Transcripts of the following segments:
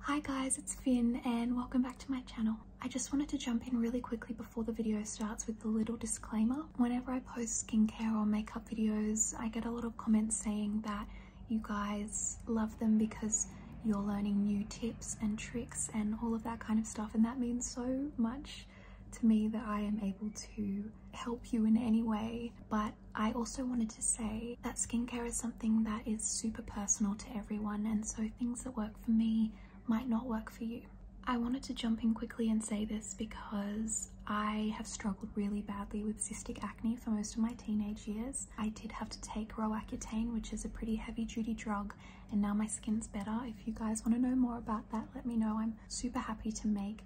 Hi guys, it's Finn and welcome back to my channel. I just wanted to jump in really quickly before the video starts with a little disclaimer. Whenever I post skincare or makeup videos, I get a lot of comments saying that you guys love them because you're learning new tips and tricks and all of that kind of stuff and that means so much to me that I am able to help you in any way. But I also wanted to say that skincare is something that is super personal to everyone, and so things that work for me might not work for you. I wanted to jump in quickly and say this because I have struggled really badly with cystic acne for most of my teenage years. I did have to take Roaccutane, which is a pretty heavy duty drug, and now my skin's better. If you guys want to know more about that, let me know. I'm super happy to make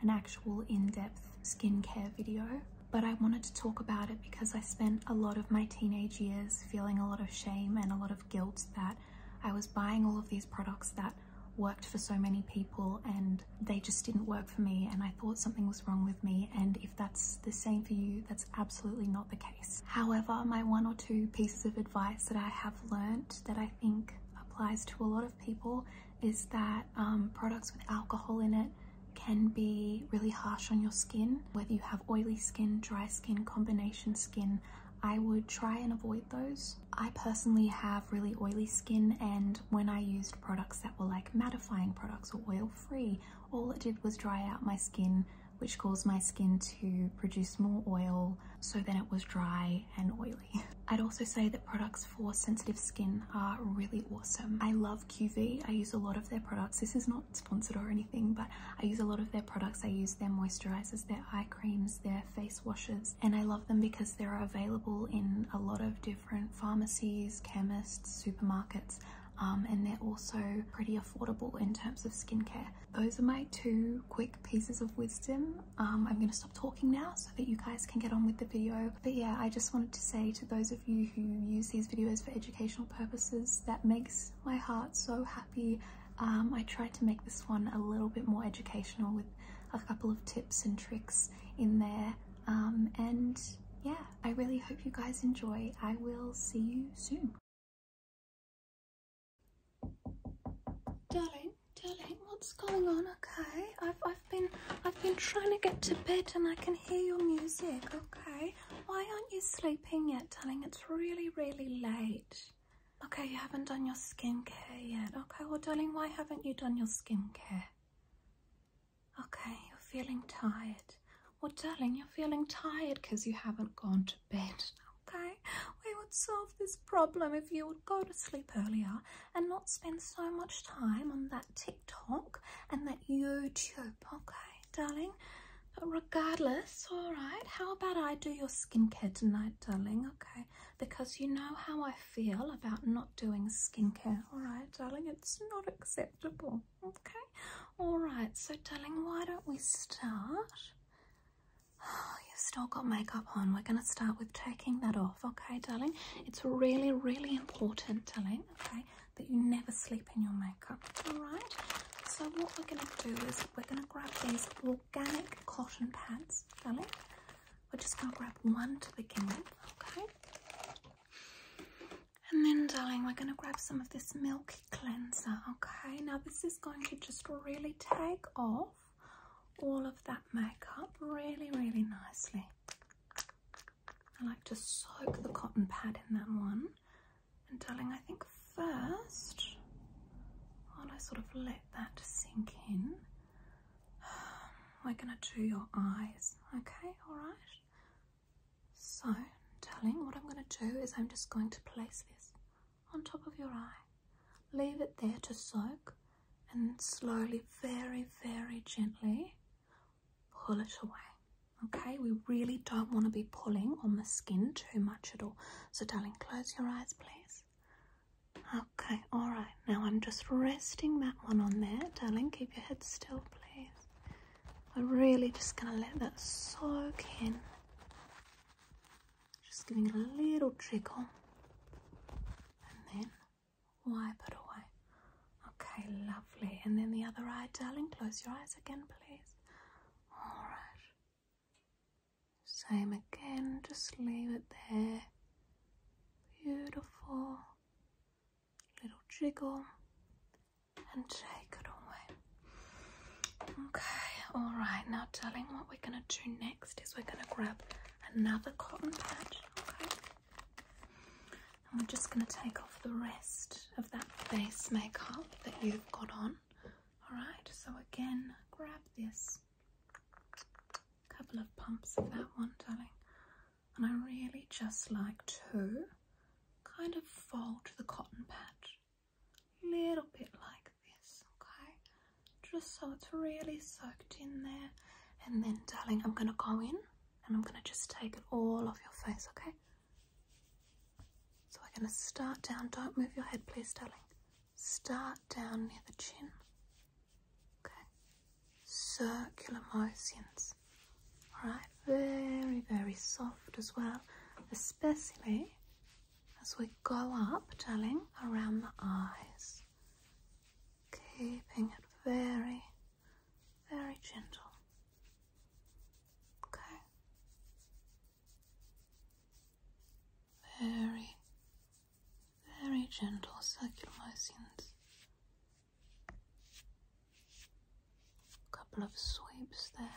an actual in-depth skincare video but I wanted to talk about it because I spent a lot of my teenage years feeling a lot of shame and a lot of guilt that I was buying all of these products that worked for so many people and they just didn't work for me and I thought something was wrong with me and if that's the same for you that's absolutely not the case. However my one or two pieces of advice that I have learnt that I think applies to a lot of people is that um, products with alcohol in it can be really harsh on your skin, whether you have oily skin, dry skin, combination skin. I would try and avoid those. I personally have really oily skin and when I used products that were like mattifying products or oil free, all it did was dry out my skin which caused my skin to produce more oil so then it was dry and oily. I'd also say that products for sensitive skin are really awesome. I love QV, I use a lot of their products. This is not sponsored or anything, but I use a lot of their products. I use their moisturizers, their eye creams, their face washes, and I love them because they're available in a lot of different pharmacies, chemists, supermarkets. Um, and they're also pretty affordable in terms of skincare. Those are my two quick pieces of wisdom. Um, I'm going to stop talking now so that you guys can get on with the video. But yeah, I just wanted to say to those of you who use these videos for education educational purposes that makes my heart so happy. Um, I tried to make this one a little bit more educational with a couple of tips and tricks in there. Um, and yeah, I really hope you guys enjoy. I will see you soon. Darling, darling, what's going on? Okay, I've I've been I've been trying to get to bed and I can hear your music. Okay, why aren't you sleeping yet, darling? It's really, really late. Okay, you haven't done your skincare yet. Okay, well, darling, why haven't you done your skincare? Okay, you're feeling tired. Well, darling, you're feeling tired because you haven't gone to bed. Okay, we would solve this problem if you would go to sleep earlier and not spend so much time on that TikTok and that YouTube, okay? darling. But uh, regardless, all right, how about I do your skincare tonight, darling? Okay, because you know how I feel about not doing skincare, all right, darling? It's not acceptable, okay? All right, so, darling, why don't we start? you've still got makeup on. We're going to start with taking that off, okay, darling? It's really, really important, darling, okay? that you never sleep in your makeup. Alright, so what we're going to do is we're going to grab these organic cotton pads, darling. We're just going to grab one to begin with, okay? And then, darling, we're going to grab some of this milk cleanser, okay? Now, this is going to just really take off all of that makeup really, really nicely. I like to soak the cotton pad in that one and darling, I think first, while I sort of let that sink in, we're going to do your eyes, okay? All right? So, darling, what I'm going to do is I'm just going to place this on top of your eye. Leave it there to soak and slowly, very, very gently pull it away. Okay, we really don't want to be pulling on the skin too much at all. So, darling, close your eyes, please. Okay, all right. Now I'm just resting that one on there, darling. Keep your head still, please. We're really just going to let that soak in. Just giving it a little jiggle, And then wipe it away. Okay, lovely. And then the other eye, darling. Close your eyes again, please. Alright. Same again, just leave it there. Beautiful. Little jiggle. And take it away. Okay, alright. Now, telling what we're going to do next is we're going to grab another cotton patch. Okay. And we're just going to take off the rest of that base makeup that you've got on. Alright, so again, grab this couple of pumps of that one, darling. And I really just like to kind of fold the cotton patch a little bit like this, okay? Just so it's really soaked in there. And then, darling, I'm going to go in and I'm going to just take it all off your face, okay? So we're going to start down. Don't move your head, please, darling. Start down near the chin. Okay. Circular motions. All right. Very, very soft as well, especially as we go up, darling, around the eyes. Keeping it very, very gentle. Okay. Very, very gentle circular motions. A couple of sweeps there.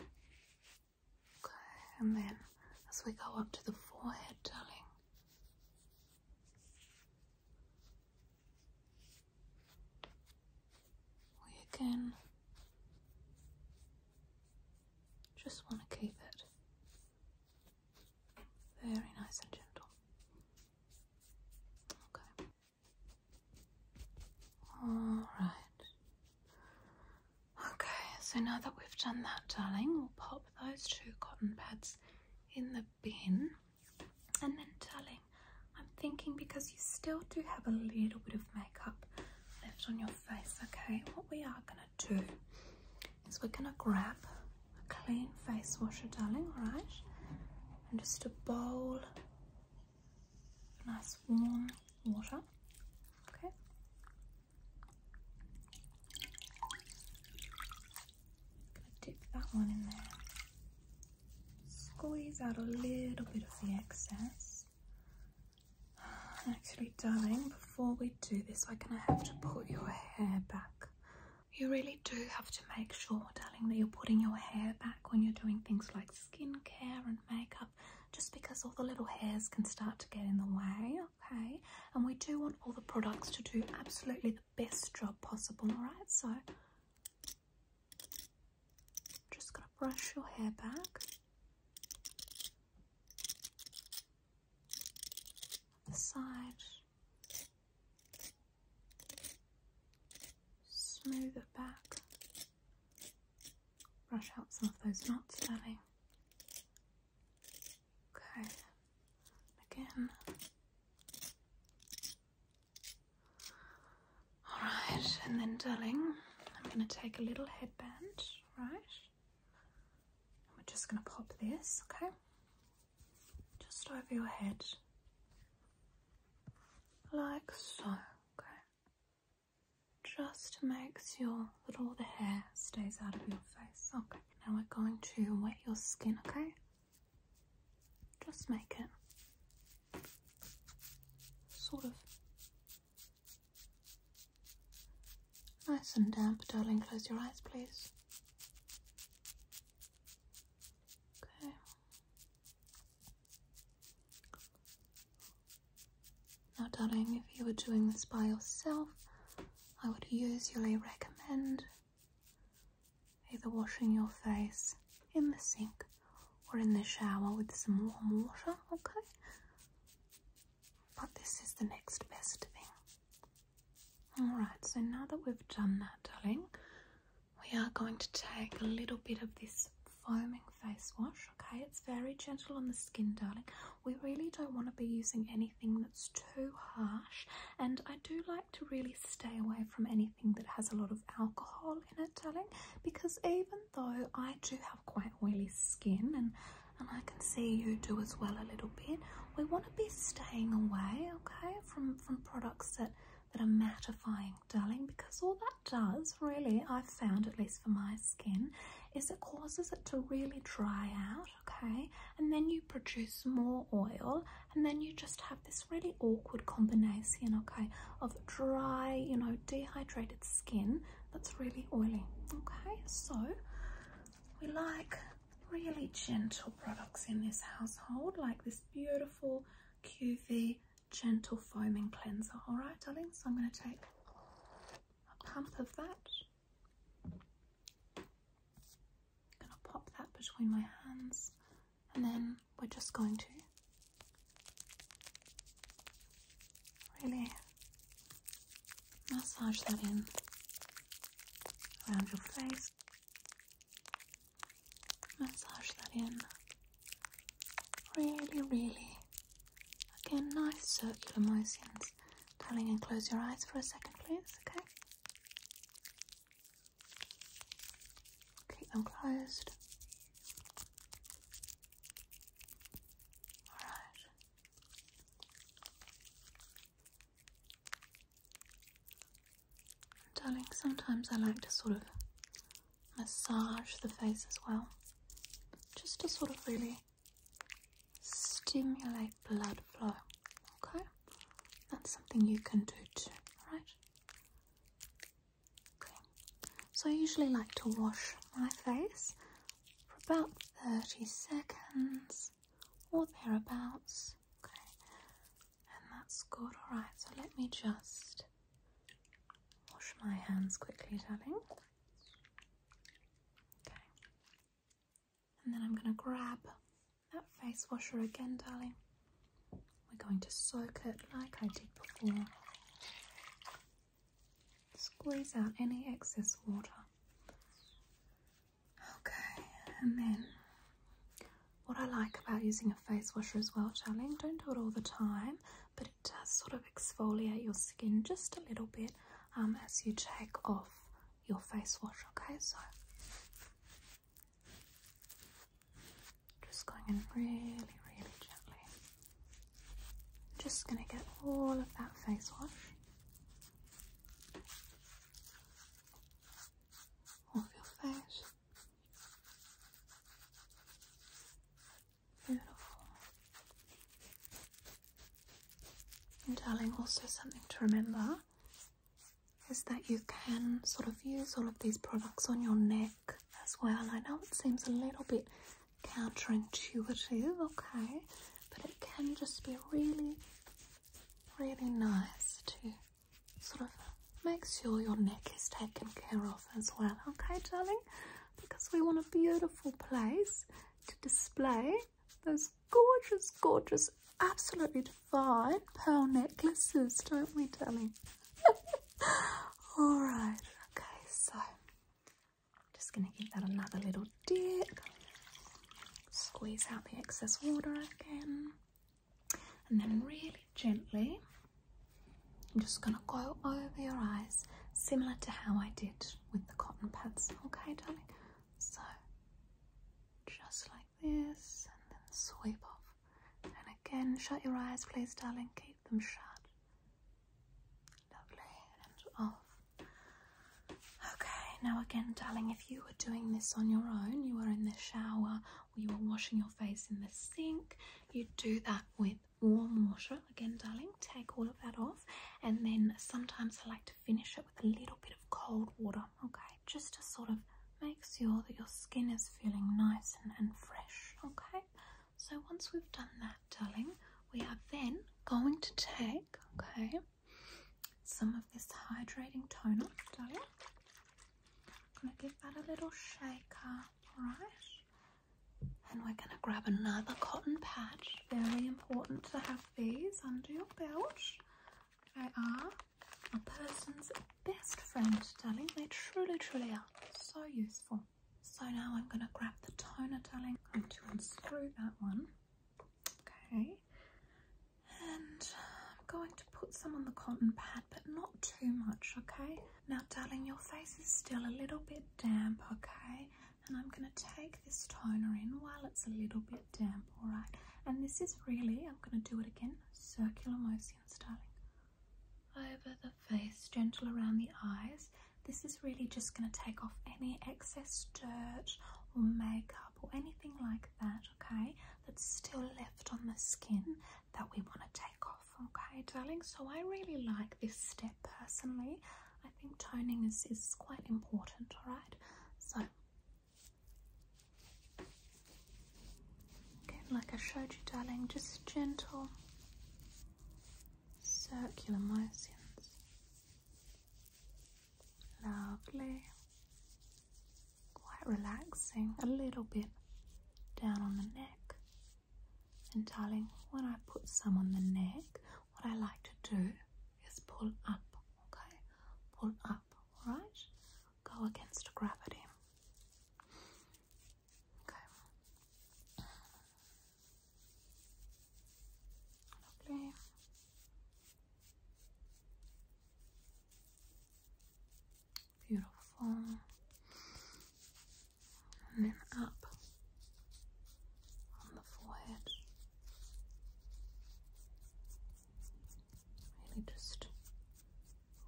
Okay, and then as we go up to the forehead, darling. We again just want to keep it very nice and gentle. Okay. Alright. Okay, so now that we've done that, darling, we'll pop those two cotton pads in the bin. And then, darling, I'm thinking because you still do have a little bit of makeup left on your face, okay? What we are gonna do is we're gonna grab a clean face washer, darling, alright? And just a bowl of nice warm water, okay? dip that one in there. Squeeze out a little bit of the excess. Actually, darling, before we do this, we're gonna have to put your hair back. You really do have to make sure, darling, that you're putting your hair back when you're doing things like skincare and makeup, just because all the little hairs can start to get in the way, okay? And we do want all the products to do absolutely the best job possible, alright? So just gonna brush your hair back. The side. Smooth it back. Brush out some of those knots, darling. Okay. Again. All right, and then, darling, I'm going to take a little headband, right? we're just going to pop this, okay? Just over your head. Like so, okay? Just makes your little the hair stays out of your face. Okay, now we're going to wet your skin, okay? Just make it sort of Nice and damp, darling. Close your eyes, please. Okay. Now, darling, if you were doing this by yourself, I would usually recommend either washing your face in the sink or in the shower with some warm water, okay? But this is the next best thing. Alright, so now that we've done that, darling, we are going to take a little bit of this foaming face wash, okay? It's very gentle on the skin, darling. We really don't want to be using anything that's too harsh, and I do like to really stay away from anything that has a lot of alcohol long because even though I do have quite oily skin and and I can see you do as well a little bit, we want to be staying away, okay, from from products that that are mattifying, darling, because all that does, really, I've found, at least for my skin, is it causes it to really dry out, okay? And then you produce more oil, and then you just have this really awkward combination, okay, of dry, you know, dehydrated skin that's really oily. Okay, so we like really gentle products in this household, like this beautiful QV gentle foaming cleanser. All right, darling, so I'm going to take a pump of that. I'm going to pop that between my hands and then we're just going to Really massage that in around your face. Massage that in. Really, really. Again, nice circular motions. Darling, and close your eyes for a second, please, okay? Keep them closed. Alright. Darling, sometimes I like to sort of massage the face as well, just to sort of really stimulate blood flow. Okay? That's something you can do too, alright? So I usually like to wash my face for about 30 seconds or thereabouts. Okay. And that's good. Alright, so let me just wash my hands quickly, darling. Okay. And then I'm going to grab that face washer again, darling. We're going to soak it like I did before. Squeeze out any excess water. Okay, and then what I like about using a face washer as well, darling, don't do it all the time, but it does sort of exfoliate your skin just a little bit um, as you take off your face washer. okay? So just going in really, really gently. I'm just going to get all of that face wash off your face. Beautiful. And darling, also something to remember is that you can sort of use all of these products on your neck as well. I know it seems a little bit counterintuitive, okay, but it can just be really, really nice to sort of make sure your neck is taken care of as well, okay, darling? Because we want a beautiful place to display those gorgeous, gorgeous, absolutely divine pearl necklaces, don't we, darling? All right, okay, so I'm just going to give that another little dip. Squeeze out the excess water again. And then really gently, I'm just going to go over your eyes, similar to how I did with the cotton pads. Okay, darling? So, just like this, and then sweep off. And again, shut your eyes, please, darling. Keep them shut. Lovely, and off. Oh. Okay, now again, darling, if you were doing this on your own, you were in the shower or you were washing your face in the sink, you do that with warm water. Again, darling, take all of that off, and then sometimes I like to finish it with a little bit of cold water, okay, just to sort of make sure that your skin is feeling nice and, and fresh, okay. So once we've done that, darling, we are then going to take, okay, some of this hydrating toner, darling. I'm gonna give that a little shaker, right? And we're gonna grab another cotton pad. Very important to have these under your belt. They are a person's best friend, darling. They truly, truly are so useful. So now I'm going to grab the toner, darling. I'm going to unscrew that one. Okay. And I'm going to put some on the cotton pad, but not too much, okay? Now, darling, your face is still a little bit damp, okay? And I'm going to take this toner in while it's a little bit damp, all right? And this is really, I'm going to do it again, circular motion, darling. Over the face, gentle around the eyes. This is really just going to take off any excess dirt or makeup or anything like that, okay, that's still left on the skin that we want to take off, okay, darling. So I really like this step personally. I think toning is, is quite important, alright? So, again, like I showed you, darling, just gentle circular motions. Lovely. Quite relaxing. A little bit down on the neck. And darling, when I put some on the neck, what I like to do is pull up, okay? Pull up, Right, Go against gravity. Okay. Lovely. Beautiful. And then up on the forehead. Really just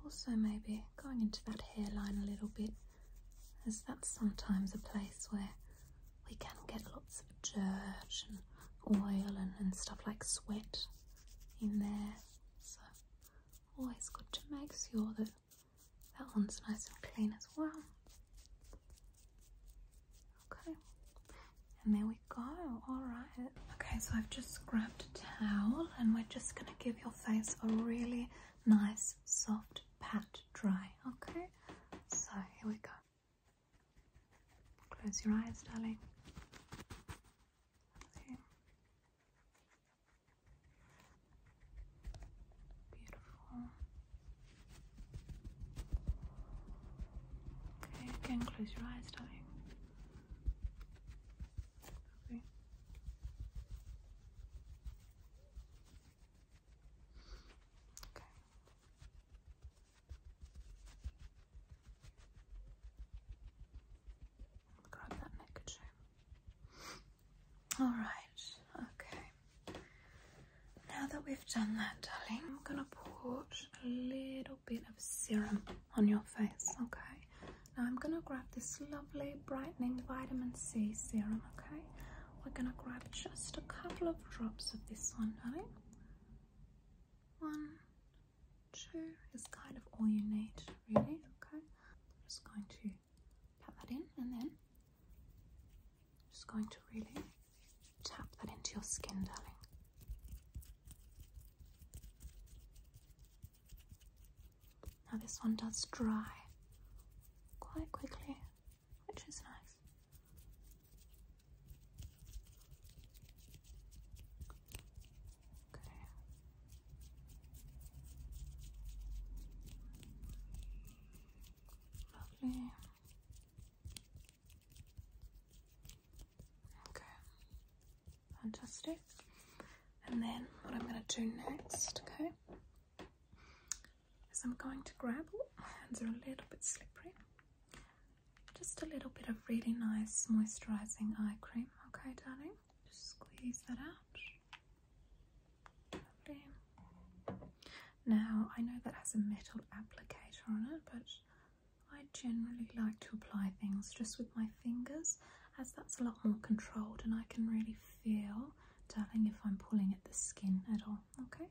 also maybe going into that hairline a little bit as that's sometimes a place where we can get lots of dirt and oil and, and stuff like sweat in there. So always good to make sure that that one's nice and clean as well. Okay, and there we go. All right. Okay, so I've just grabbed a towel and we're just going to give your face a really nice soft pat dry, okay? So here we go. Close your eyes, darling. Okay. Beautiful. Okay, again, close your eyes, darling. Grab that neckerchief. All right. Okay. Now that we've done that, darling, I'm gonna put a little bit of serum on your face. Okay. Now I'm gonna grab this lovely brightening vitamin C serum. Okay we're gonna grab just a couple of drops of this one, right? One, two is kind of all you need, really, okay? I'm just going to pat that in and then just going to really tap that into your skin, darling. Now this one does dry quite quickly, which is nice. Okay. Lovely. Okay. Fantastic. And then what I'm going to do next, okay, as I'm going to gravel. Oh, my hands are a little bit slippery. Just a little bit of really nice moisturising eye cream. Okay, darling. Just squeeze that out. Lovely. Now, I know that has a metal applicator on it, but I generally like to apply things just with my fingers as that's a lot more controlled and I can really feel, darling, if I'm pulling at the skin at all. Okay,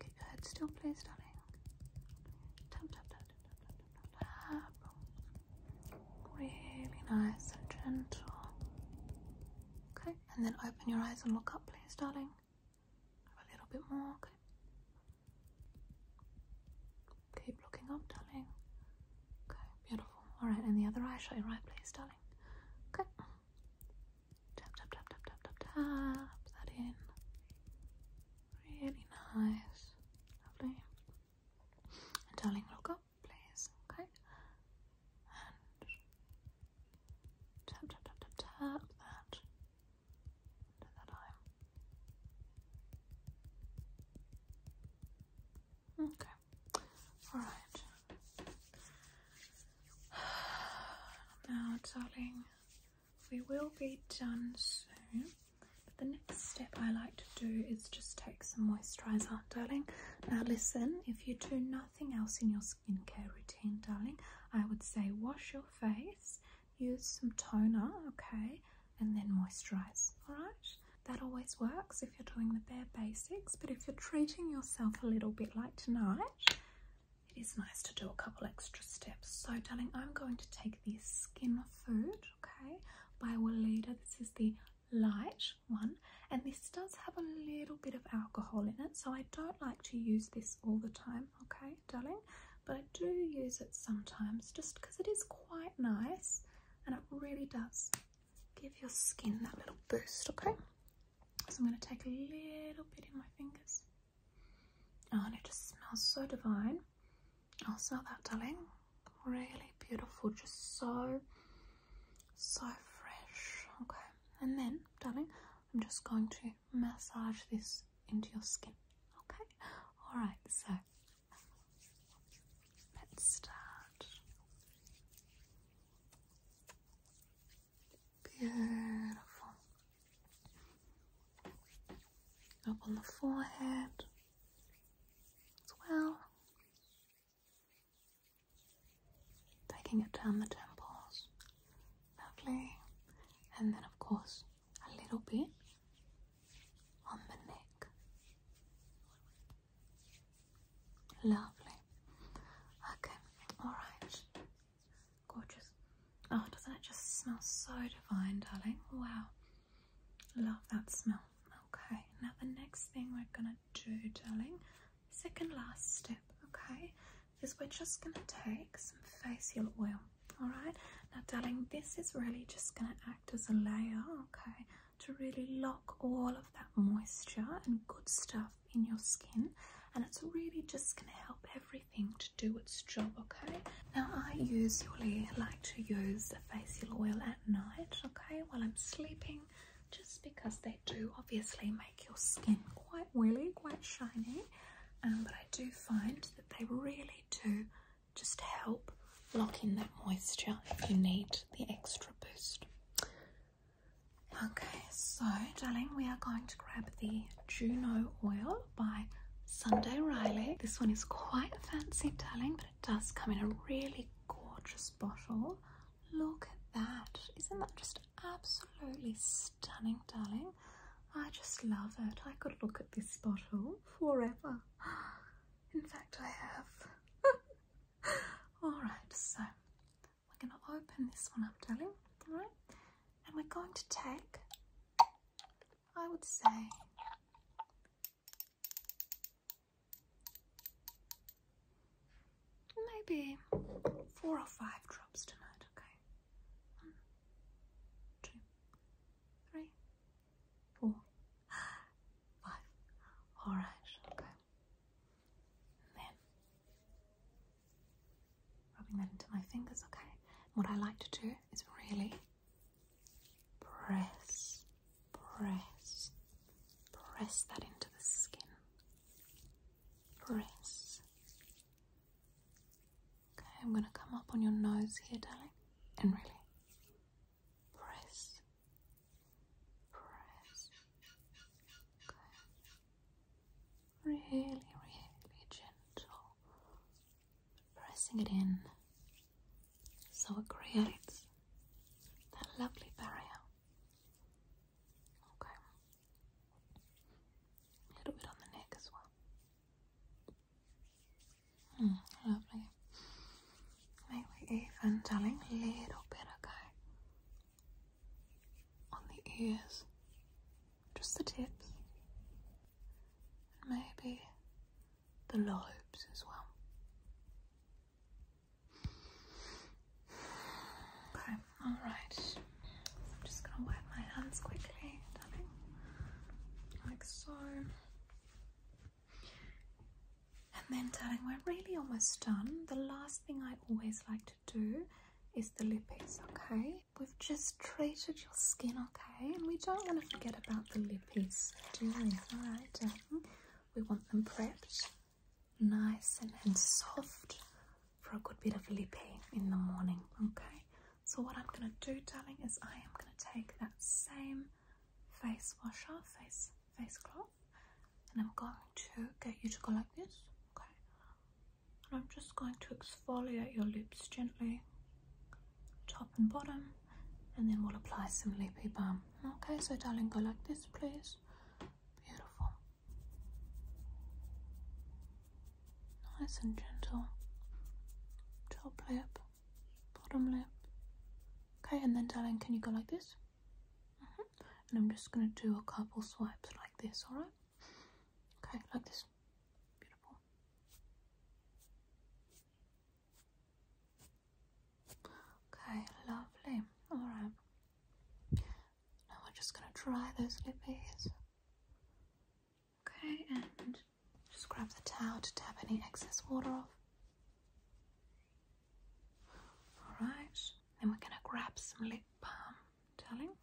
Keep your head still, please, darling. Really nice and gentle. Okay, and then open your eyes and look up, please, darling. A little bit more, okay. Keep looking up, darling. Okay, beautiful. Alright, and the other eye, shut your right, please, darling. Okay. Tap, tap, tap, tap, tap, tap, tap that in. Really nice. Lovely. And darling, look up, please. Okay. And tap, tap, tap, tap, tap that. Under that eye. Okay. Alright. Now, darling, we will be done soon. But the next step I like to do is just take some moisturiser, darling. Now listen, if you do nothing else in your skincare routine, darling, I would say wash your face, use some toner, okay, and then moisturize, all right? That always works if you're doing the bare basics, but if you're treating yourself a little bit like tonight, it is nice to do a couple extra steps. So, darling, I'm going to take the skin food, okay, by Walida. This is the light one, and this does have a little bit of alcohol in it, so I don't like to use this all the time, okay, darling, but I do use it sometimes just because it is quite nice and it really does give your skin that little boost, okay? So I'm going to take a little bit in my fingers. Oh, and it just smells so divine. I'll oh, smell that, darling. Really beautiful, just so, so fresh. Okay, and then, darling, I'm just going to massage this into your skin. Okay, all right, so let's start. Beautiful. Up on the forehead as well. Taking it down the temples. Lovely. And then, of course, a little bit on the neck. Lovely. Okay, alright. Gorgeous. Oh, doesn't it just smell so divine, darling? Wow. Love that smell. Okay, now the next thing we're gonna do, darling, second last step, okay, is we're just gonna take some facial oil, all right? Now, darling, this is really just gonna act as a layer, okay, to really lock all of that moisture and good stuff in your skin, and it's really just gonna help everything everything to do its job, okay? Now, I usually like to use the facial oil at night, okay, while I'm sleeping, just because they do obviously make your skin quite oily, quite shiny. Um, but I do find that they really do just help lock in that moisture if you need the extra boost. Okay, so darling, we are going to grab the Juno oil by Sunday Riley. This one is quite fancy darling, but it does come in a really gorgeous bottle. Look at that. Isn't that just absolutely stunning, darling? I just love it. I could look at this bottle forever. In fact, I have. All right, so we're going to open this one up, darling. All right. Am I going to take, I would say, maybe four or five drops tonight, okay? One, two, three, four, five. Alright, okay. then rubbing that into my fingers, okay? What I like to do is really press, press, press that into the skin. Press. Okay, I'm going to come up on your nose here, darling, and really press, press. Okay. Really, really gentle, pressing it in so it creates that lovely barrier. Okay. A little bit on the neck as well. Hmm, lovely. Maybe even telling a little bit, okay? On the ears just the tips, and maybe the lobes as well. Okay, all right. I'm just gonna wipe my hands quickly, darling, like so. And then, darling, we're really almost done. The last thing I always like to do is the lippies, okay? we've just treated your skin, okay? And we don't want to forget about the lippies, do we? Alright, mm-hmm. We want them prepped, nice and, and soft for a good bit of lippy in the morning, okay? So what I'm going to do, darling, is I am going to take that same face washer, face face cloth, and I'm going to get you to go like this, okay? and I'm just going to exfoliate your lips gently, top and bottom, and then we'll apply some lippy balm. Okay, so darling, go like this, please. Beautiful. Nice and gentle. Top lip, bottom lip. Okay, and then darling, can you go like this? Mm-hmm. And I'm just going to do a couple swipes like this, alright? Okay, like this. Beautiful. Okay, lovely. Alright. Now we're just gonna dry those lippies. Okay, and just grab the towel to dab any excess water off. Alright, then we're gonna grab some lip balm, darling.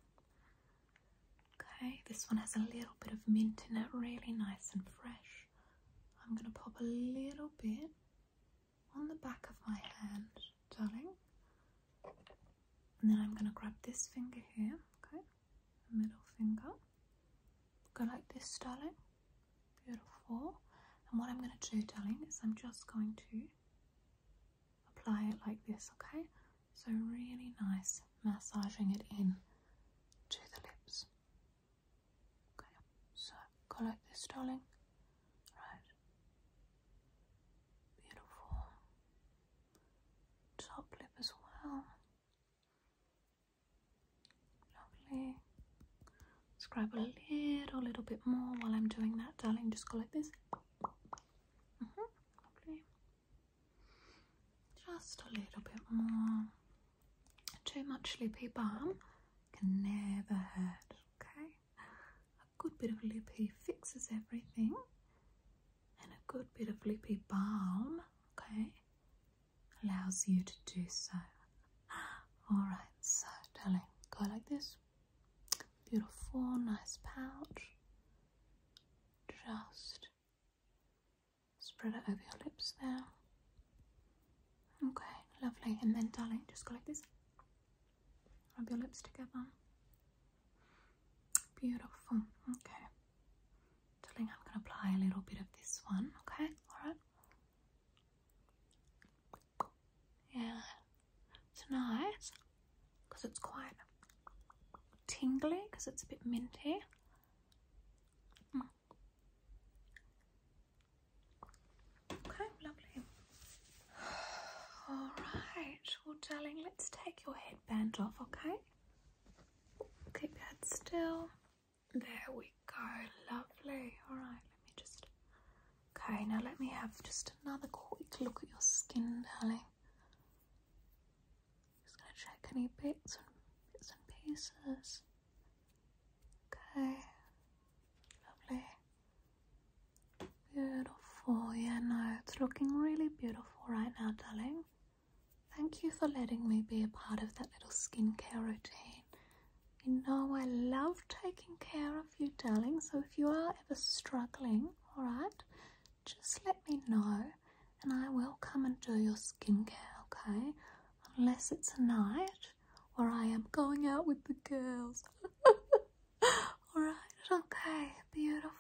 Okay, this one has a little bit of mint in it, really nice and fresh. I'm going to pop a little bit on the back of my hand, darling. And then I'm going to grab this finger here, okay, middle finger. Go like this, darling. Beautiful. And what I'm going to do, darling, is I'm just going to apply it like this, okay? So, really nice massaging it in to the lips. Okay, so collect this, darling. Right. Beautiful. Top lip as well. Lovely. Scrub a little, little bit more while I'm doing that, darling. Just collect this. Mm just a little bit more. Too much lippy balm can never hurt, okay? A good bit of lippy fixes everything, and a good bit of lippy balm, okay, allows you to do so. Alright, so darling, go like this. Beautiful, nice pouch. Just Spread it over your lips now. Okay, lovely. And then, darling, just go like this. Rub your lips together. Beautiful. Okay. Darling, I'm going to apply a little bit of this one. Okay, alright. Yeah. nice because it's quite tingly, because it's a bit minty. Mm. Okay, lovely. All right, well, darling, let's take your headband off, okay? Keep your still. There we go, lovely. All right, let me just. Okay, now let me have just another quick look at your skin, darling. Just gonna check any bits and pieces. Okay. Lovely. Beautiful. Yeah, no, it's looking really beautiful right now, darling. Thank you for letting me be a part of that little skincare routine. You know I love taking care of you, darling, so if you are ever struggling, alright, just let me know and I will come and do your skincare, okay? Unless it's a night or I am going out with the girls. Alright, okay, beautiful.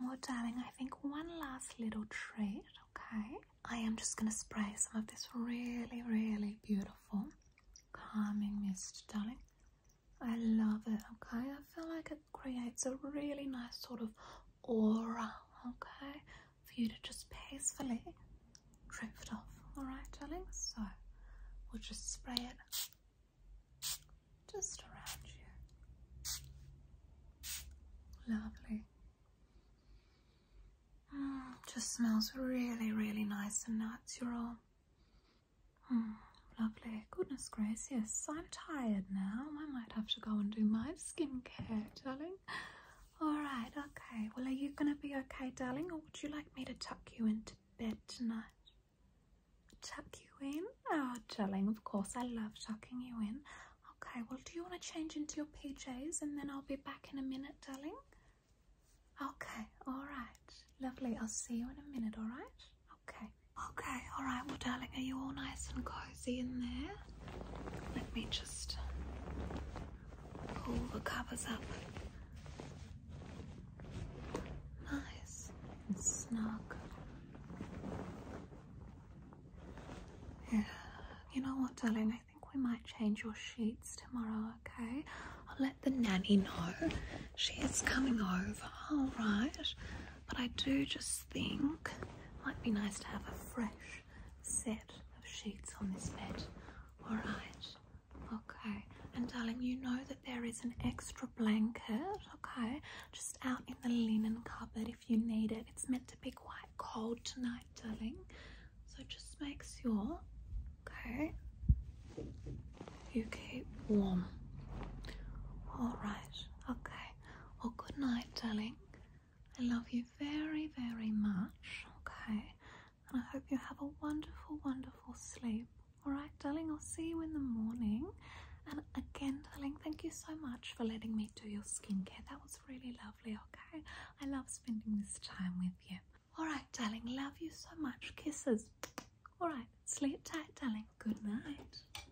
Well, darling, I think one last little treat, okay? I am just gonna spray some of this really, really beautiful calming mist, darling. I love it, okay? I feel like it creates a really nice sort of aura, okay? for you to just peacefully drift off. Alright, darling? So we'll just spray it just around you. Lovely. Mm, just smells really, really nice and natural. Mm, lovely. Goodness gracious, I'm tired now. I might have to go and do my skincare, darling. Alright, okay. Well, are you going to be okay, darling, or would you like me to tuck you into bed tonight? Tuck you in? Oh, darling, of course, I love tucking you in. Okay, well, do you want to change into your PJs and then I'll be back in a minute, darling? Okay, alright. Lovely, I'll see you in a minute, alright? Okay. Okay, alright, well, darling, are you all nice and cozy? cozy in there. Let me just pull the covers up. Nice and snug. Yeah. You know what, darling? I think we might change your sheets tomorrow, okay? I'll let the nanny know. She is coming over, alright? But I do just think it might be nice to have a fresh set of sheets on this bed. Alright, okay. And darling, you know that there is an extra blanket, okay, just out in the linen cupboard if you need it. It's meant to be quite cold tonight, darling. So just make sure, okay, you keep warm. Alright, okay. Well, good night, darling. I love you very, very much, okay? And I hope you have a wonderful, wonderful sleep. Alright, darling, I'll see you in the morning. And again, darling, thank you so much for letting me do your skincare. That was really lovely, okay? I love spending this time with you. Alright, darling, love you so much. Kisses. Alright, sleep tight, darling. Good night.